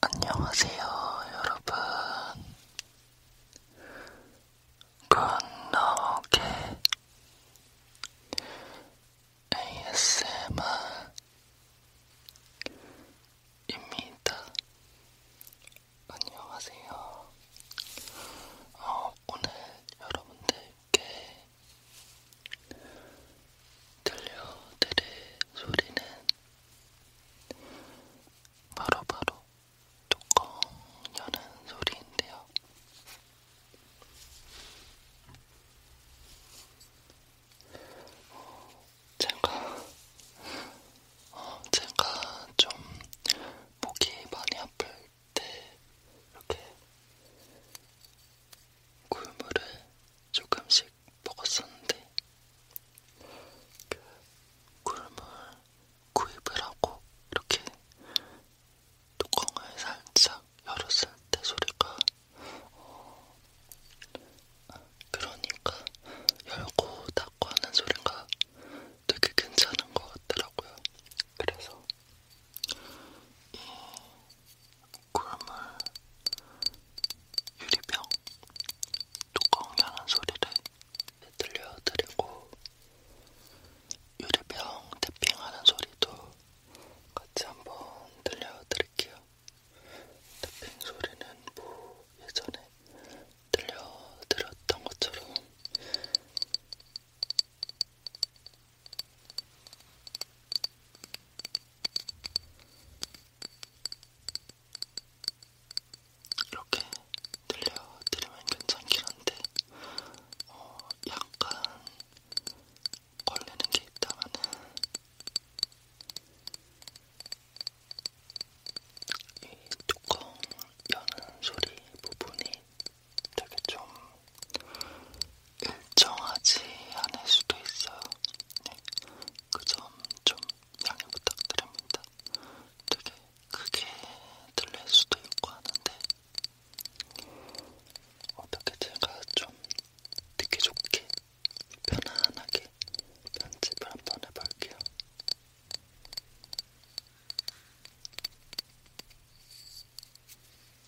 안녕하세요, 여러분. 굿노게 ASMR입니다. 안녕하세요. 어, 오늘 여러분들 여러분께 들려드릴 소리는 바로바로 바로 뚜껑 여는 소리인데요. 어, 제가, 어, 제가 좀 목이 많이 아플 때 네. 이렇게 굴물을 조금씩 먹었었는데 그 굴물 구입을 하고 이렇게 뚜껑을 살짝 열었을 때 소리가 어, 그러니까 열고 닫고 하는 소리가 되게 괜찮은 것 같더라고요. 그래서 이 그러면 유리병 뚜껑 나는 소리를 들려드리고 유리병 태핑하는 소리도 같이 한번 들려드릴게요. 태핑 소리는 뭐 예전에 들려드렸던 것처럼 이렇게 들려드리면 괜찮긴 한데, 어, 약간 걸리는 게 있다면은, 이 뚜껑 여는 소리 부분이 되게 좀 일정하지 않을 수도 있어요. 네. 그점 좀 양해 부탁드립니다. 되게 크게 들릴 수도 있고 하는데 어떻게 제가 좀 듣기 좋게 편안하게 편집을 한번 해볼게요.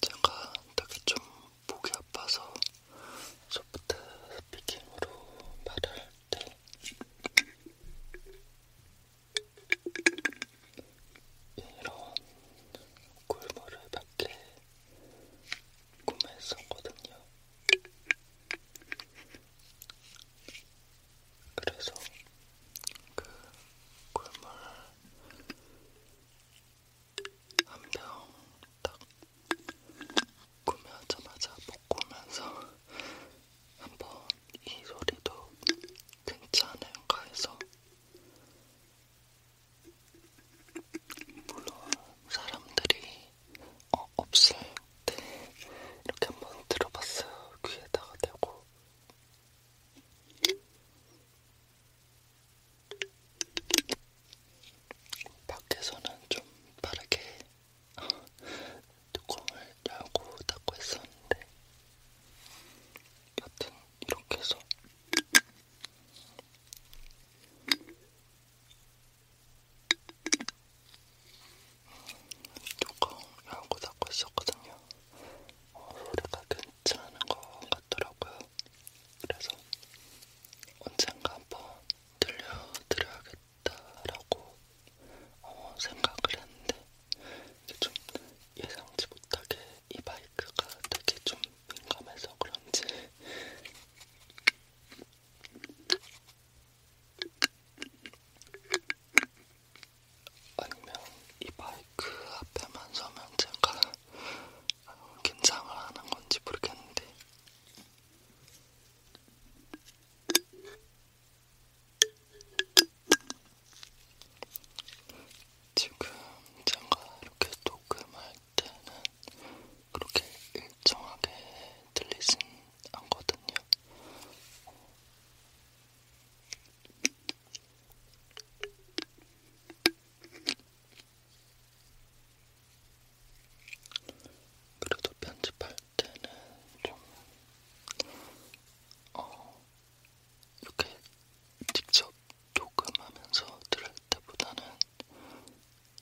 제가 되게 좀 목이 아파서 소프트 스피킹으로 말을 것도 이런 꿀물을 밖에 구매했었거든요. 그래서 그 꿀물 한병딱 구매하자마자 먹고 오면서 한번 이 소리도 괜찮은가 해서 물론 사람들이 어, 없을 때 이렇게 한번 들어봤어요. 귀에다가 대고 밖에서는 좀 빠르게 뚜껑을 열고 닫고 있었는데 여튼 이렇게 해서 뚜껑 열고 닫고 있었거든요. 어, 소리가 괜찮은 것 같더라고요. 그래서 언젠가 한번 들려드려야겠다. 좋겠다라고 어, 생각을 했는데 이게 좀 예상치 못하게 이 마이크가 되게 좀 민감해서 그런지 아니면 이 마이크 앞에만 서면 제가 어, 긴장을 하는 건지 모르겠는데 지금 제가 이렇게 녹음할 때는 그렇게 일정하게 들리진 않거든요. 그래도 편집할 때는 좀, 어, 이렇게 직접 녹음하면서 들을 때보다는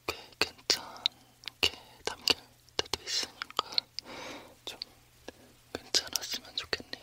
꽤 괜찮게 담길 때도 있으니까 좀 괜찮았으면 좋겠네요.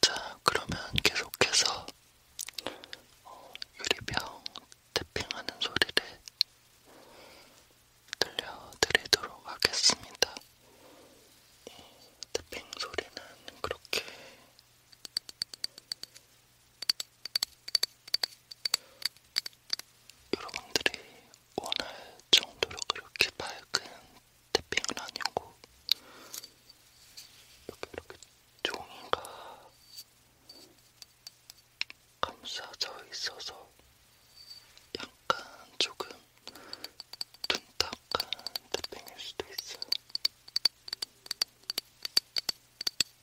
자, 그러면 계속해서 어, 유리병 태핑하는 소리를 들려드리도록 하겠습니다. 이 태핑 소리는 그렇게 여러분들이 원할 정도로 그렇게 밝은 태핑은 아니고 이렇게 이렇게 종이가 감싸져 있어서 약간 조금 둔탁한 태핑일 수도 있어요.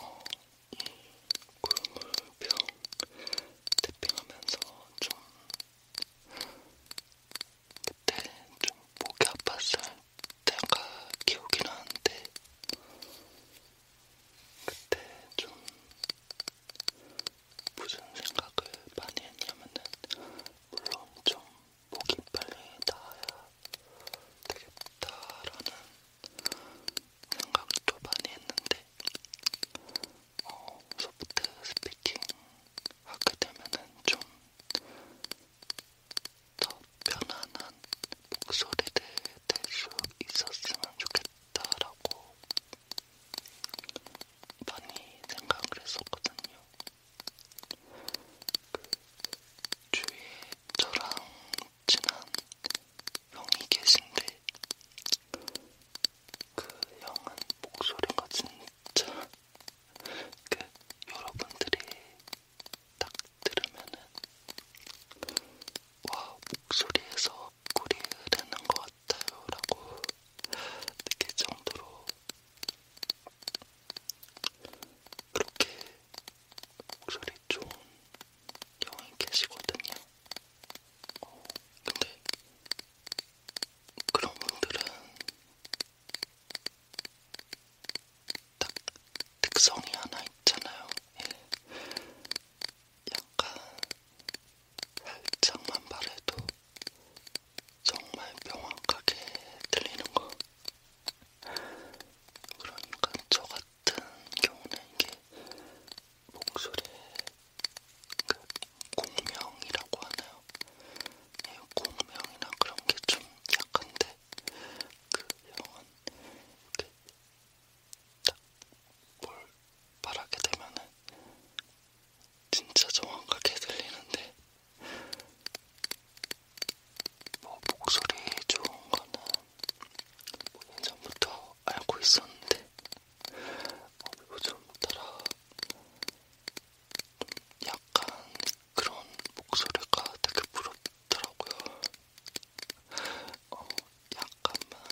어, 음, 국물병 태핑하면서 좀 그때 좀 목이 아팠을 때가 기억이 나는데 그때 좀 무슨 생각을 많이 했냐면은 물론 좀 목이 빨리 나아야 되겠다라는 생각도 많이 했는데 어, 소프트 스피킹 하게 되면은 좀더 편안한 목소리를 낼수 있었으면 좋겠다라고 많이 생각을 했었거든요. 그 주위에 저랑 친한 형이 계신데 그 형은 목소리가 진짜 그 여러분들이 딱 들으면은 와 목소리에서 꿀이 흐르는 것 같아요 라고 느낄 정도로 그렇게 목소리 좋은 경우에 계시거든요. 어, 근데 그런 분들은 딱 특성이 하나 있잖아요. 예. 약간 살짝만 말해도 정말 명확하게 들리는 거. 그러니까 저 같은 같은 경우는 이게 목소리의 그 공명이라고 하나요? 네, 공명이나 그런 게 좀 약한데 그 형은 이렇게 딱뭘 말하게 되면은 진짜 정확하게 들리는데 뭐 목소리 좋은 거는 5년 뭐 전부터 알고 있었는데 어, 요즘 따라 약간 그런 목소리가 되게 부럽더라고요. 어, 약간만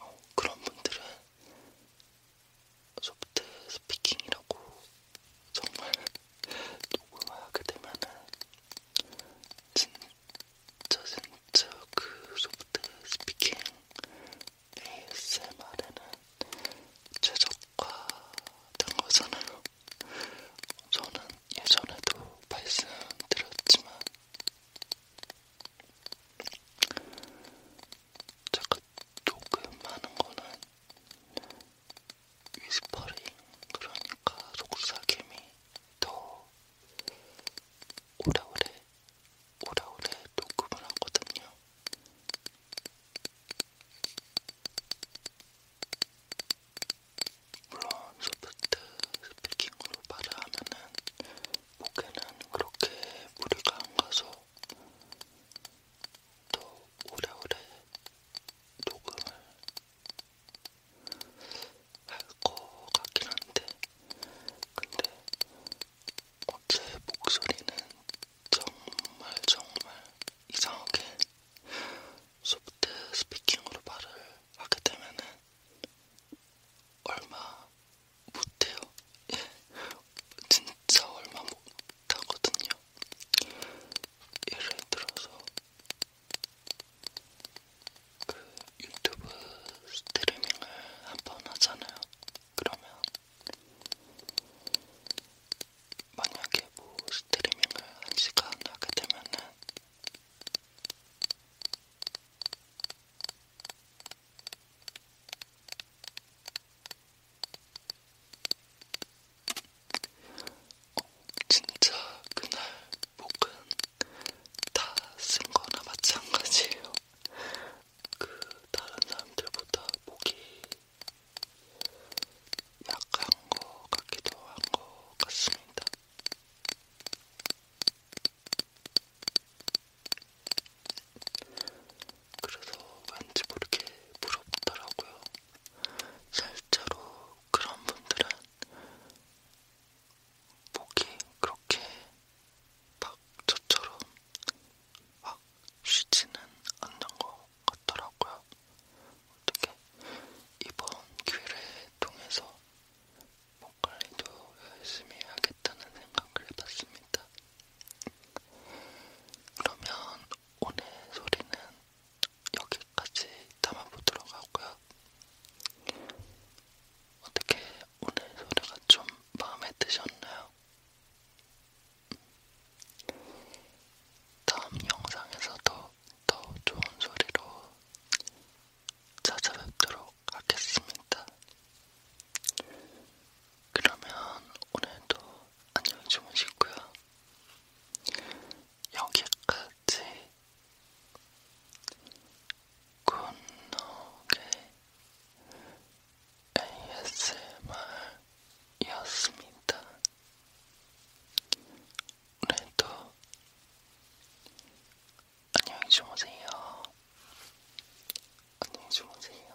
어, 그런 분들은 소프트 스피킹이라고 정말 녹음하게 되면은 진짜 진짜 그 소프트 스피킹 ASMR에는 최적화된 거잖아요. 저는 예전에도 말씀드렸지만 제가 녹음하는 거는 위스퍼링 그러니까 속삭임이 더 오래오래 오래오래 녹음을 하거든요. 물론 소프트 스피킹으로 말을 하면은 목에는 그렇게 무리가 안 가서 더 오래오래 녹음을 할것 같긴 한데, 근데 제 목소리는 정말 정말 이상하게 소프트 스피킹으로 말을 하게 되면은 얼마 못해요. 예. 진짜 얼마 못하거든요. 예를 들어서 그 유튜브 스트리밍을 한 번 하잖아요. 그러면 만약에 뭐 스트리밍을 한 시간 하게 되면은 진짜 그날 목은 다 쓴 거나 마찬가지예요. 그 다른 사람들보다 목이 약한 거 같기도 한거 같습니다. 그래서 왠지 모르게 부럽더라고요. 실제로 그런 분들은 목이 그렇게 막 저처럼 막 쉬지는 않는 것 같더라고요. 어떻게 이번 기회를 통해서 목 관리도 열심히 해야겠다는 생각을 해봤습니다. 그러면 오늘 소리는 여기까지 담아보도록 하고요. 어떻게 오늘 소리가 좀 마음에 드셨나요? 다음 영상에서도 더 좋은 소리로 찾아뵙도록 하겠습니다. 그러면 오늘도 안녕히 주무시고요. 여기까지 굿노게 ASMR이었습니다. 오늘도 안녕히 주무세요. 안녕히 주무세요.